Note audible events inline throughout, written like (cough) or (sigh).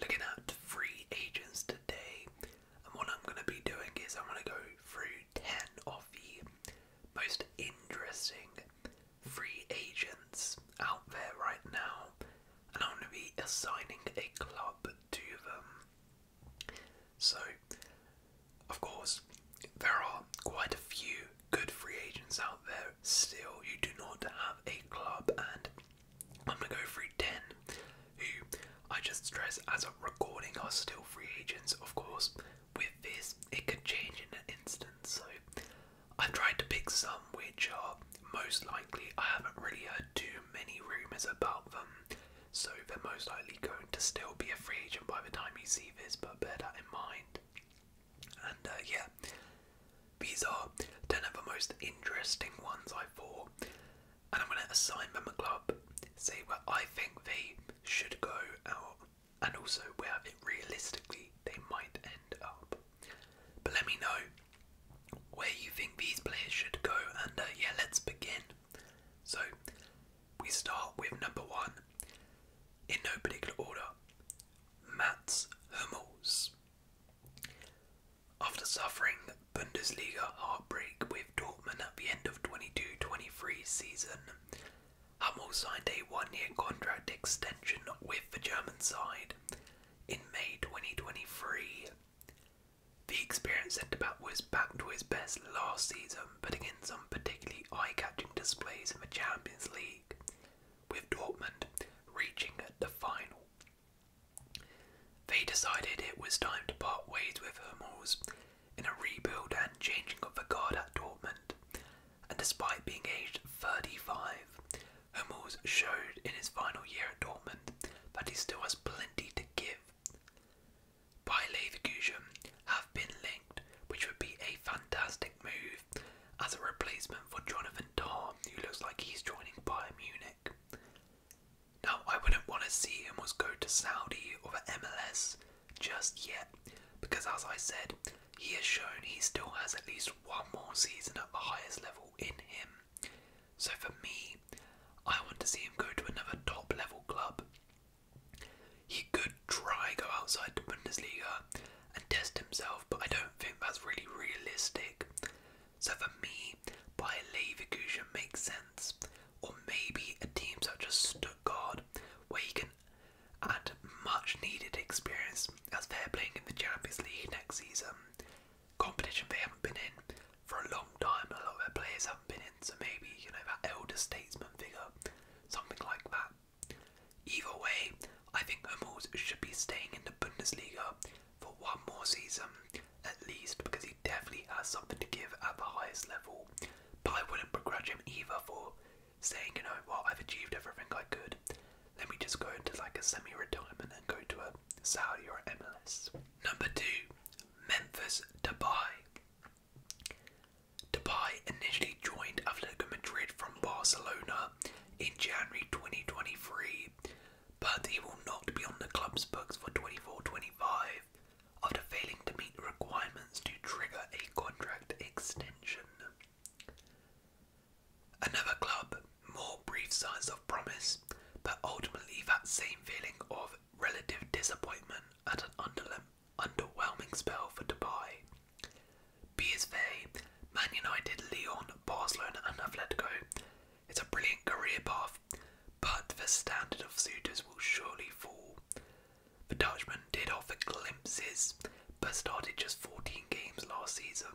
looking at free agents today, and what I'm going to be doing is I'm going to go through 10 of the most interesting free agents out there right now, and I'm going to be assigning a club to them. So, of course, there are quite a few good free agents out there still. You do not have a club, and I'm gonna go through ten who I just stress as a recording are still free agents, of course. With this, it could change in an instant, so I've tried to pick some which are most likely I haven't really heard too many rumours about them, so they're most likely going to still be a free agent by the time you see this, but bear that in mind. And uh, yeah, these are 10 of the most interesting ones I thought, and I'm going to assign them a club, see where I think they should go out, and also where realistically they might end up. But let me know where you think these players should go, and uh, yeah, let's begin. So we start with number one, in no particular order, Mats Hummels. After suffering Bundesliga heartbreak with Dortmund at the end of 22-23 season, Hummel signed a one-year contract extension with the German side in May 2023. The experienced centre-back was back to his best last season, putting in some particularly eye-catching displays in the Champions League, with Dortmund reaching the final. They decided it was time to part ways with Hummels in a rebuild and changing of the guard at Dortmund. And despite being aged 35, Hummels showed in his final year at Dortmund that he still has plenty to give. By Leverkusen have been linked, which would be a fantastic move as a replacement for Jonathan and who looks like he's joining Bayern Munich. Now, I wouldn't want to see him was go to Saudi or the MLS just yet, because as I said, he has shown he still has at least one more season at the highest level in him. So for me, I want to see him go to another top level club. He could try go outside the Bundesliga and test himself, but I don't think that's really realistic. So for me, by Leverkusen makes sense. Or maybe a team such as Stuttgart, where you can add much needed experience as they're playing in the Champions League next season. Competition they haven't been in for a long time, a lot of their players haven't been in, so maybe, you know, that elder statesman figure, something like that. Either way, I think Hummels should be staying in the Bundesliga for one more season at least because he definitely has something to give at the highest level. But I wouldn't begrudge him either for saying, you know, well, I've achieved everything I could. Let me just go into like a semi-retirement and go to a Saudi or MLS. Number two, Memphis Dubai. Dubai initially joined Atletico Madrid from Barcelona in January 2023 but he will not be on the club's books for 24-25 after failing to meet requirements to trigger a contract extension. Another club, more brief signs of promise, but ultimately that same feeling of relative disappointment at an underwhelming spell for Dubai. PSV, Man United, Lyon, Barcelona, and Atletico. It's a brilliant career path, but the standard of suitors will surely fall. The Dutchman did offer glimpses, but started just 14 games last season.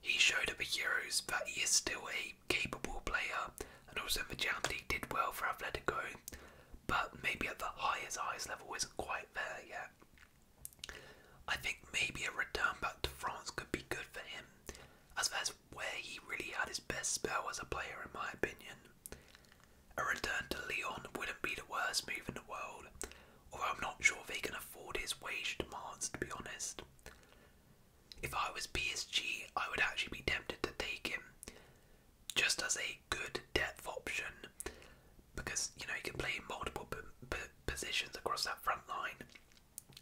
He showed at the Euros but he is still a capable player, and also in the Jam did well for Atletico, but maybe at the highest highest level isn't quite there yet. I think maybe a return back to France could be good for him, as far as where he really had his best spell as a player, in my opinion. A return to Lyon wouldn't be the worst move in the world, although I'm not sure they can afford his wage demands, to be honest. If I was PSG, I would actually be tempted to take him, just as a good depth option, because you know he can play in multiple positions across that front line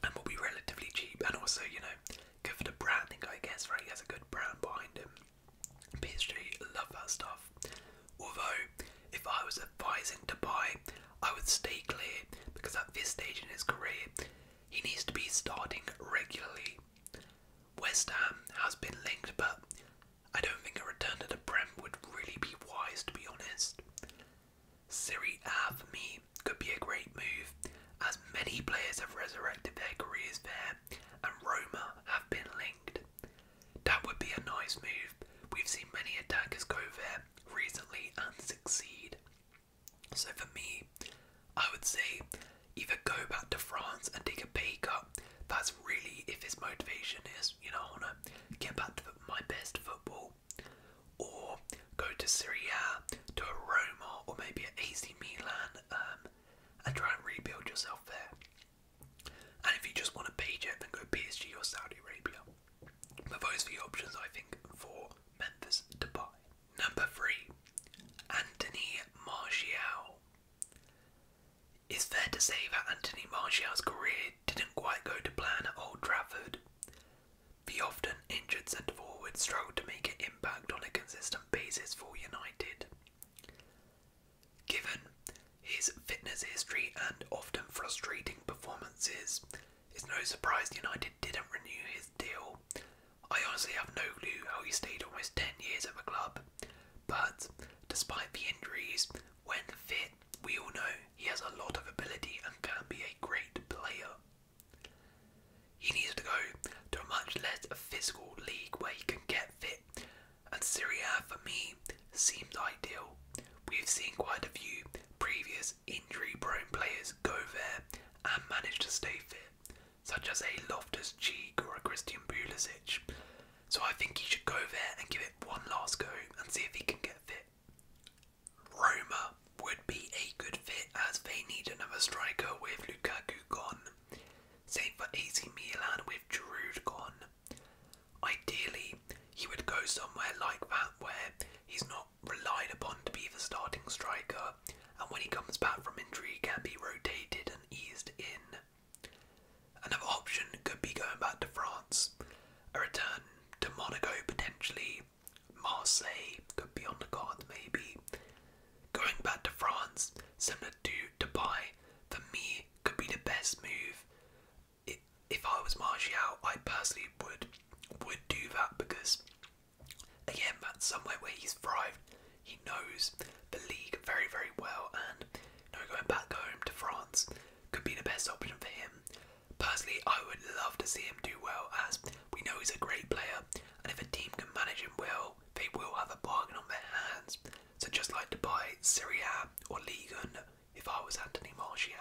and will be relatively cheap and also you know good for the branding I guess right he has a good brand behind him PSG love that stuff although if I was advising to buy, I would stay clear because at this stage in his career he needs to be starting regularly West Ham has been linked but I don't think a return to the Prem would really be wise to be honest Serie A for me could be a great move, as many players have resurrected their careers there, and Roma have been linked. That would be a nice move. We've seen many attackers go there recently and succeed. So for me, I would say either go back to France and take a pay cut. That's really if his motivation is you know I want to get back to my best football, or go to Syria to a Roma, or maybe at AC Milan, um, and try and rebuild yourself there. And if you just want to page it, then go PSG or Saudi Arabia. But those are the options I think for Memphis to buy. Number three, Anthony Martial. It's fair to say that Anthony Martial's career didn't quite go to plan at Old Trafford. The often injured centre forward struggled to make an impact on a consistent basis for United. Given his fitness history and often frustrating performances, it's no surprise United didn't renew his deal. I honestly have no clue how he stayed almost 10 years at the club, but despite the injuries, when fit, we all know he has a lot of ability and can be a great player. He needs to go to a much less physical league where he can get fit, and Syria, for me seems ideal. We've seen quite a few previous injury prone players go there and manage to stay fit, such as a Loftus Cheek or a Christian Pulisic, so I think he should go there and give it one last go and see if he can get fit. Roma would be a good fit as they need another striker with Lukaku gone. Same for AC Milan with Giroud gone. Ideally, he would go somewhere like that where he's not relied upon to be the starting striker and when he comes back from injury he can be rotated and eased in. Another option could be going back to France, a return to Monaco potentially, Marseille could be on the cards maybe. Going back to France, similar to Dubai, for me could be the best move. It, if I was Martial, I personally would would do that because again that's somewhere where he's thrived. He knows the league very very well, and now going back home to France could be the best option for him. Personally, I would love to see him do well as we know he's a great player, and if a team can manage him well, they will have a bargain on their hands. So just like Dubai, Syria, or Ligon, if I was Anthony Martial.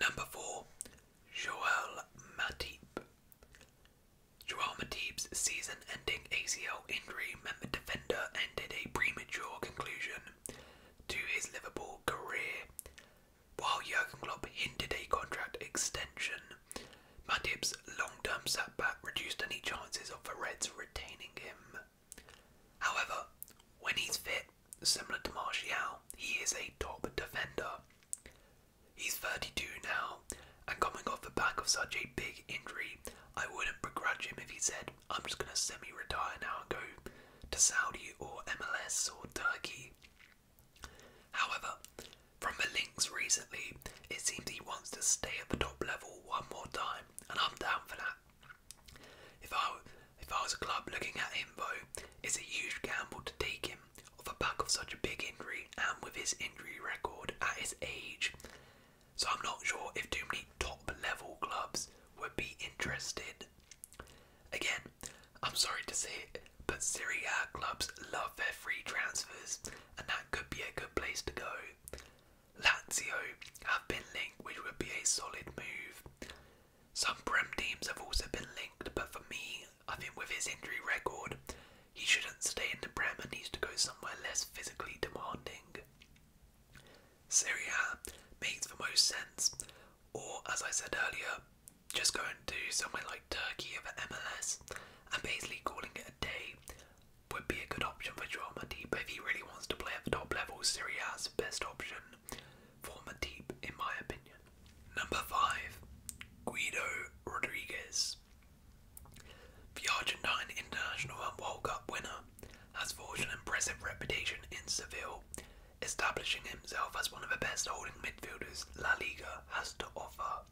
Number four, Joel Matip. Joel Matip's season season-ending ACL injury meant the defender ended a premature conclusion to his Liverpool career. While Jurgen Klopp hinted a contract extension, Matip's long-term setback reduced any chances of the Reds retaining him. However, when he's fit, similar to Martial, he is a top defender. He's 32 now, and coming off the back of such a big injury, I wouldn't begrudge him if he said, I'm just going to semi retire now and go to Saudi or MLS or Turkey. However, from the links recently, it seems he wants to stay at the top level one more time, and I'm down for that. If I, if I was a club looking at him, though, it's a huge gamble to take him off the back of such a big injury and with his injury record at his age. So I'm not sure if too many top level clubs would be interested. Again, I'm sorry to say it, but Serie A clubs love their free transfers, and that could be a good place to go. Lazio have been linked, which would be a solid move. Some Prem teams have also been linked, but for me, I think with his injury record, he shouldn't stay in the Prem and needs to go somewhere less physically demanding. Syria makes the most sense, or as I said earlier, just go and do somewhere like Turkey or MLS and basically calling it a day would be a good option for Joel Matip if he really wants to play at the top level. Serie A the best option for Matip, in my opinion. Number five, Guido Rodriguez. The Argentine International and World Cup winner has forged an impressive reputation in Seville, establishing himself as one of the best holding midfielders La Liga has to offer.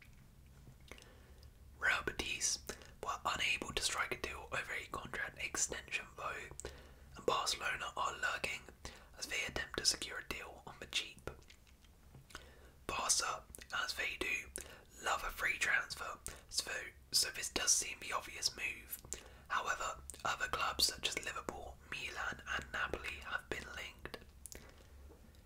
Real Betis were unable to strike a deal over a contract extension though, and Barcelona are lurking as they attempt to secure a deal on the cheap. Barca, as they do, love a free transfer, so so this does seem the obvious move. However, other clubs such as Liverpool, Milan, and Napoli have been linked.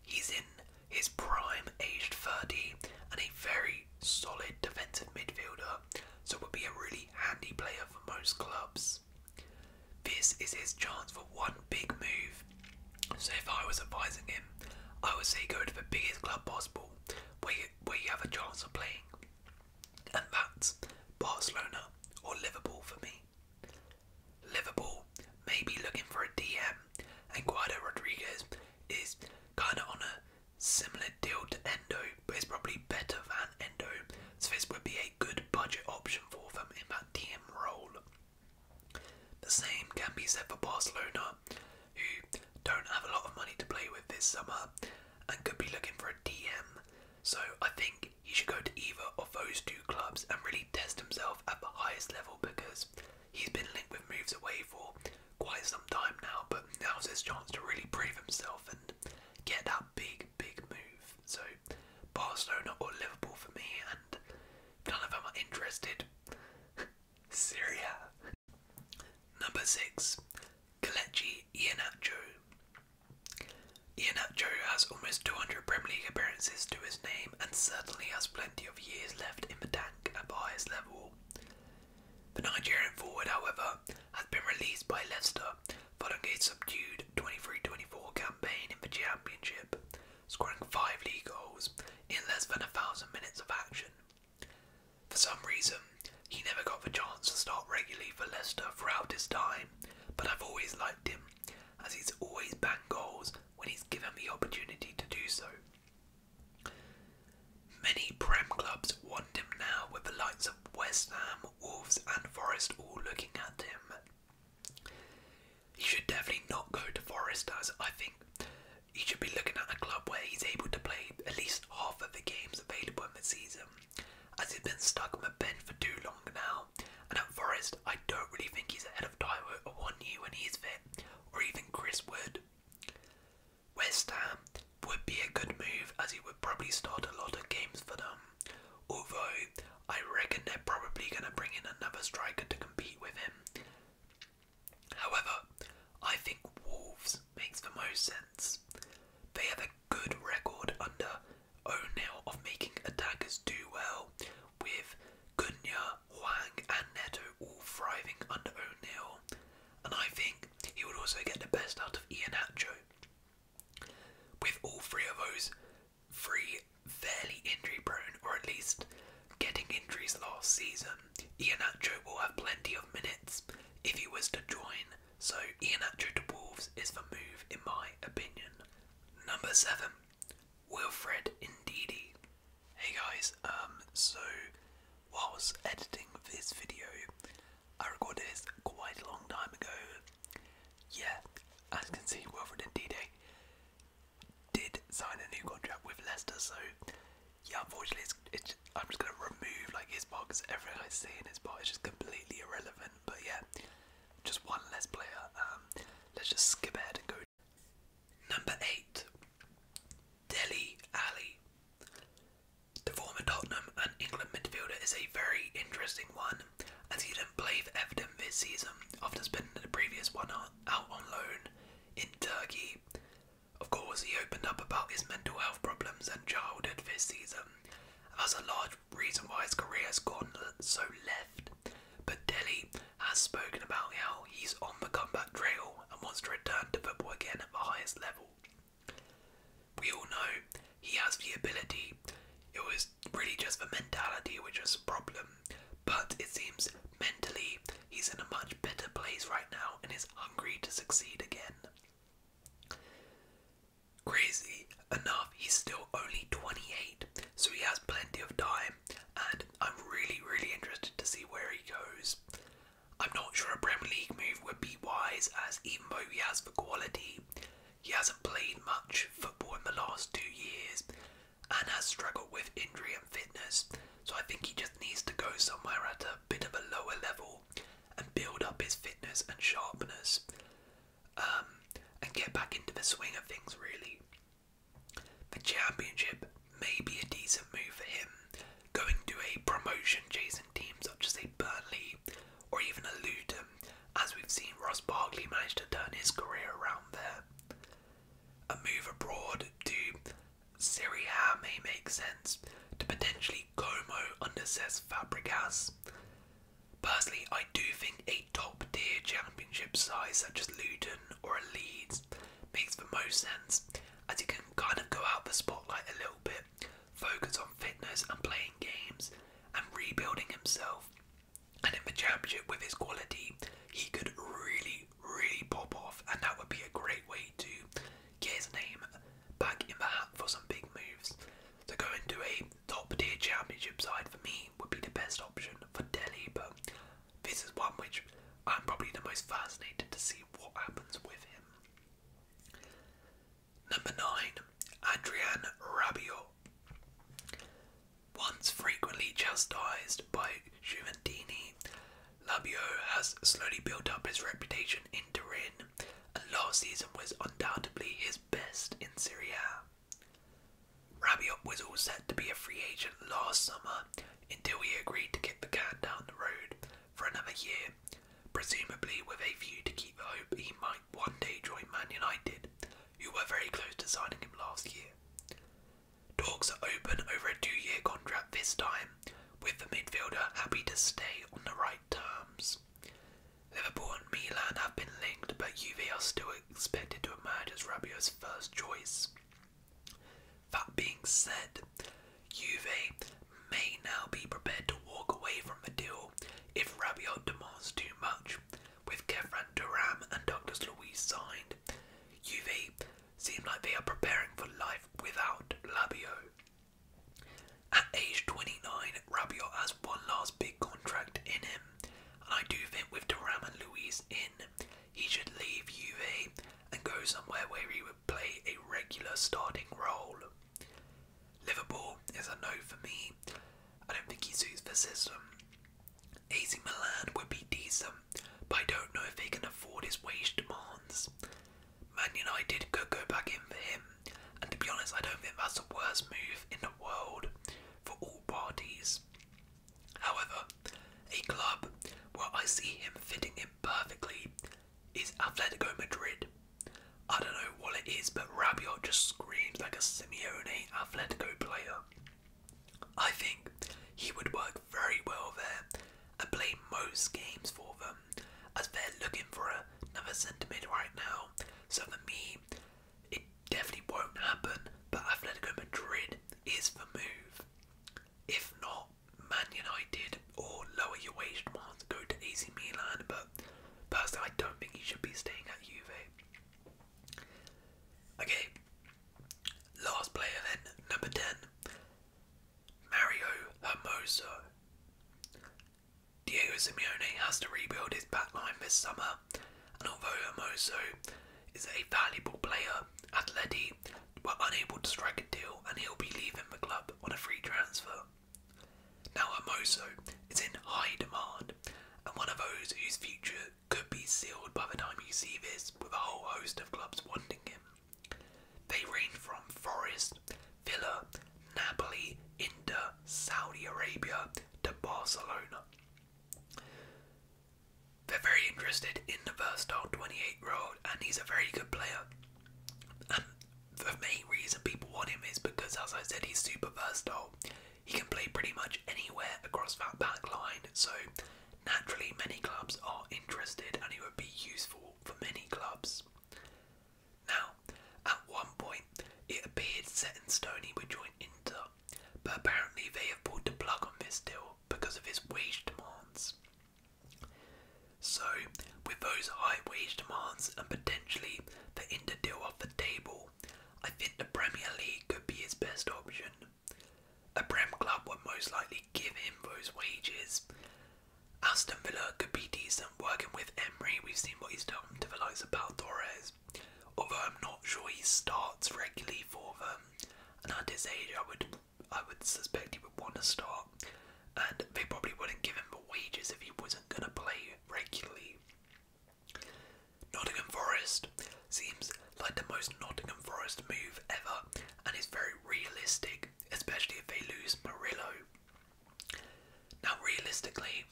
He's in his prime, aged 30, and a very solid defensive midfielder, so would be a really handy player for most clubs. This is his chance for one big move. So if I was advising him, I would say go to the biggest club possible, where you, where you have a chance of playing, and that's Barcelona or Liverpool for me. Liverpool may be looking for a DM, and Guido Rodriguez is kind of on a similar deal to Endo, but it's probably better than Endo, so this would be a good budget option for them in that DM role. The same can be said for Barcelona, who don't have a lot of money to play with this summer and could be looking for a DM. So I think he should go to either of those two clubs and really test himself at the highest level because he's been linked with moves away for quite some time now, but now's his chance to really prove himself and get that big, big move. So Barcelona or Liverpool for me and none of them are interested. Syria. (laughs) Number six, Kelechi Iheanacho. Iheanacho has almost 200 Premier League appearances to his name and certainly has plenty of years left in the tank at highest level. The Nigerian forward, however, has been released by Leicester following a subdued 23-24 campaign in the Championship, scoring five league goals in less than a thousand minutes of action. For some reason, he never got the chance to start regularly for Leicester throughout his time, but I've always liked him, as he's always banged goals when he's given the opportunity to do so. Many Prem clubs want him now, with the likes of West Ham, Wolves, and Forest all looking at him. He should definitely not go to Forest, as I think he should be looking at a club where he's able to play at least half of the games available in the season, as he's been stuck on the bench for too long now. And at Forest, I don't really think he's ahead of or one Awonyi when he's fit, or even Chris Wood. West Ham would be a good move as he would probably start a lot of games for them, although I reckon they're probably going to bring in another striker to compete with him. However, I think Wolves makes the most sense. They have a good record under O'Neill of making attackers do well, with Gunya, Huang, and Neto all thriving under O'Neill, and I think he would also get the best out of Ian Ianacho. With all three of those three fairly injury prone, or at least getting injuries last season, Iheanacho will have plenty of minutes if he was to join, so Iheanacho to Wolves is the move in my opinion. Number 7. Wilfred Ndidi. Hey guys, um, so whilst editing this video, I recorded this quite a long time ago. Yeah, as you can see, Wilfred Ndidi did sign a new contract with Leicester, so yeah, unfortunately, it's, I'm just gonna remove like his box. because everything I see in his box is just completely irrelevant. But yeah, just one less player. Um, let's just skip ahead and go. Number eight, Delhi Ali. The former Tottenham and England midfielder is a very interesting one, as he didn't play for Everton this season after spending the previous one out on loan in Turkey. Of course, he opened up about his mental health problems and childhood this season. That's a large reason why his career has gone so left. But Delhi has spoken about how he's on the comeback trail and wants to return to football again at the highest level. We all know he has the ability. It was really just the mentality which was the problem. But it seems mentally he's in a much better place right now and is hungry to succeed again. Crazy enough, he's still only 28, so he has plenty of time, and I'm really, really interested to see where he goes. I'm not sure a Premier League move would be wise, as even though he has the quality, he hasn't played much football in the last two years, and has struggled with injury and fitness. So I think he just needs to go somewhere at a bit of a lower level and build up his fitness and sharpness um, and get back into the swing of things, really. The championship may be a decent move for him, going to a promotion chasing team such as a Burnley or even a Luton, as we've seen Ross Barkley manage to turn his career around there. A move abroad to Syria may make sense, to potentially Como under Cesc Fabregas. Personally, I do think a top tier championship side such as Luton or Leeds makes the most sense, as he can kind of go out the spotlight a little bit, focus on fitness and playing games, and rebuilding himself. And in the championship with his quality, he could really, really pop off, and that would be a great way to get his name back in the hat for some big moves. To go into a top tier championship side for me would be the best option for Delhi, but this is one which I'm probably the most fascinated to see what happens with him. Number 9, Adrian Rabiot. Once frequently chastised by Juventini, Labio has slowly built up his reputation in Turin, and last season was undoubtedly his best in Serie A. Rabiot was all set to be a free agent last summer until he agreed to keep the can down the road for another year, presumably with a view to keep the hope he might one day join Man United, who were very close to signing him last year. Talks are open over a two year contract this time, with the midfielder happy to stay on the right terms. Liverpool and Milan have been linked, but Juve are still expected to emerge as Rabiot's first choice. That being said, Juve may now be prepared to walk away from the deal if Rabiot demands too much, with Kevran Duram and Douglas Luiz signed. UV seem like they are preparing for life without Labio. At age 29, Rabiot has one last big contract in him, and I do think with Duram and Luis in, he should leave UV and go somewhere where he would play a regular starting role. Liverpool is a no for me. I don't think he suits the system. AC Milan would be decent, but I don't know if they can afford his wage demands. Man United could go back in for him, and to be honest, I don't think that's the worst move in the world for all parties. However, a club where I see him fitting in perfectly is Atletico Madrid. I don't know what it is, but Rabiot just screams like a Simeone Atletico player. I think he would work very well there and play most games for them as they're looking for another centre mid right now. So for me, it definitely won't happen, but Atletico Madrid is the move. If not, Man United or lower your wage demand to go to AC Milan, but personally I don't think he should be staying at Juve. Okay, Last player then, number 10, Mario Hermoso. Diego Simeone has to rebuild his backline this summer, and although Hermoso is a valuable player, Atleti were unable to strike a deal and he'll be leaving the club on a free transfer. Now Hermoso is in high demand and one of those whose future could be sealed by the time you see this, with a whole host of clubs wanting him. They range from Forest, Villa, Napoli, Inter, Saudi Arabia to Barcelona. They're very interested in the versatile 28 year old, and he's a very good player. And the main reason people want him is because, as I said, he's super versatile. He can play pretty much anywhere across that back line, so naturally many clubs are interested and he would be useful for many clubs. Now, at one point, it appeared set in stone he would join Inter, but apparently they have pulled the plug on this deal because of his wage demands. So, with those high wage demands and potentially the Inter deal off the table, I think the Premier League could be his best option. A Prem club would most likely give him those wages. Aston Villa could be decent working with Emery. We've seen what he's done to the likes of Pal Torres. Although I'm not sure he starts regularly for them. And at his age, I would, I would suspect he would want to start. And they probably wouldn't give him the wages if he wasn't going to play regularly. Nottingham Forest seems like the most Nottingham Forest move ever and it's very realistic, especially if they lose Murillo. Now, realistically,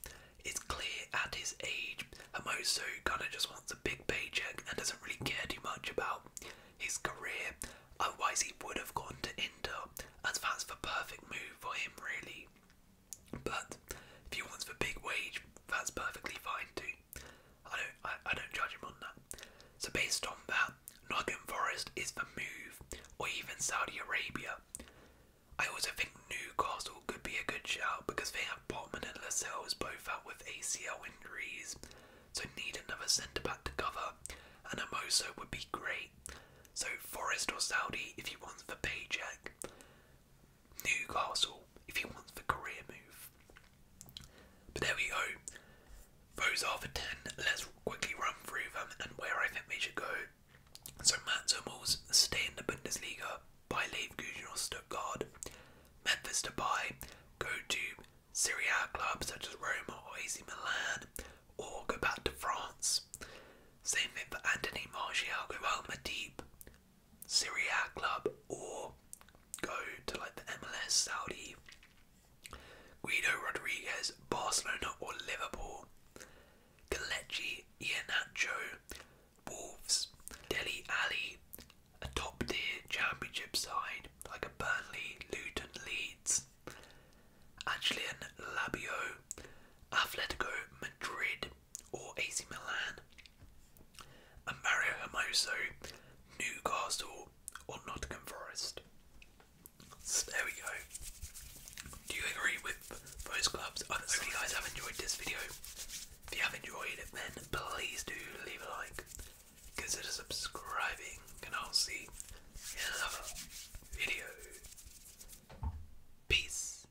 it's clear at his age Hermoso kind of just wants a big paycheck and doesn't really care too much about his career, otherwise, he would have gone to Inter, as that's the perfect move for him, really. But if he wants a big wage, that's perfectly fine too. I don't, I, I don't judge him on that. So based on that, Nottingham Forest is the move, or even Saudi Arabia. I also think Newcastle could be a good shout because they have Botman and Lascelles both out with ACL injuries, so need another centre back to cover, and Amoso would be great. So Forest or Saudi if he wants the paycheck. Newcastle if he wants the career move. But there we go. Those are the 10. Let's quickly run through them and where I think they should go. So Mats Hummels stay in the Bundesliga by Leverkusen or Stuttgart. Memphis to Depay go to Serie A clubs such as Roma or AC Milan or go back to France. Same thing for Anthony Martial, go out deep. Syria club or go to like the MLS, Saudi, Guido Rodriguez, Barcelona or Liverpool, Kelechi Iheanacho, Wolves, Delhi Ali, a top tier championship side like a Burnley, Luton, Leeds, Angelin Labio, Atletico Madrid, or AC Milan, and Mario Hermoso, Newcastle, or Nottingham Forest. there we go. Do you agree with those clubs? I hope you guys have enjoyed this video. If you have enjoyed it, then please do leave a like, consider subscribing, and I'll see you in another video. Peace.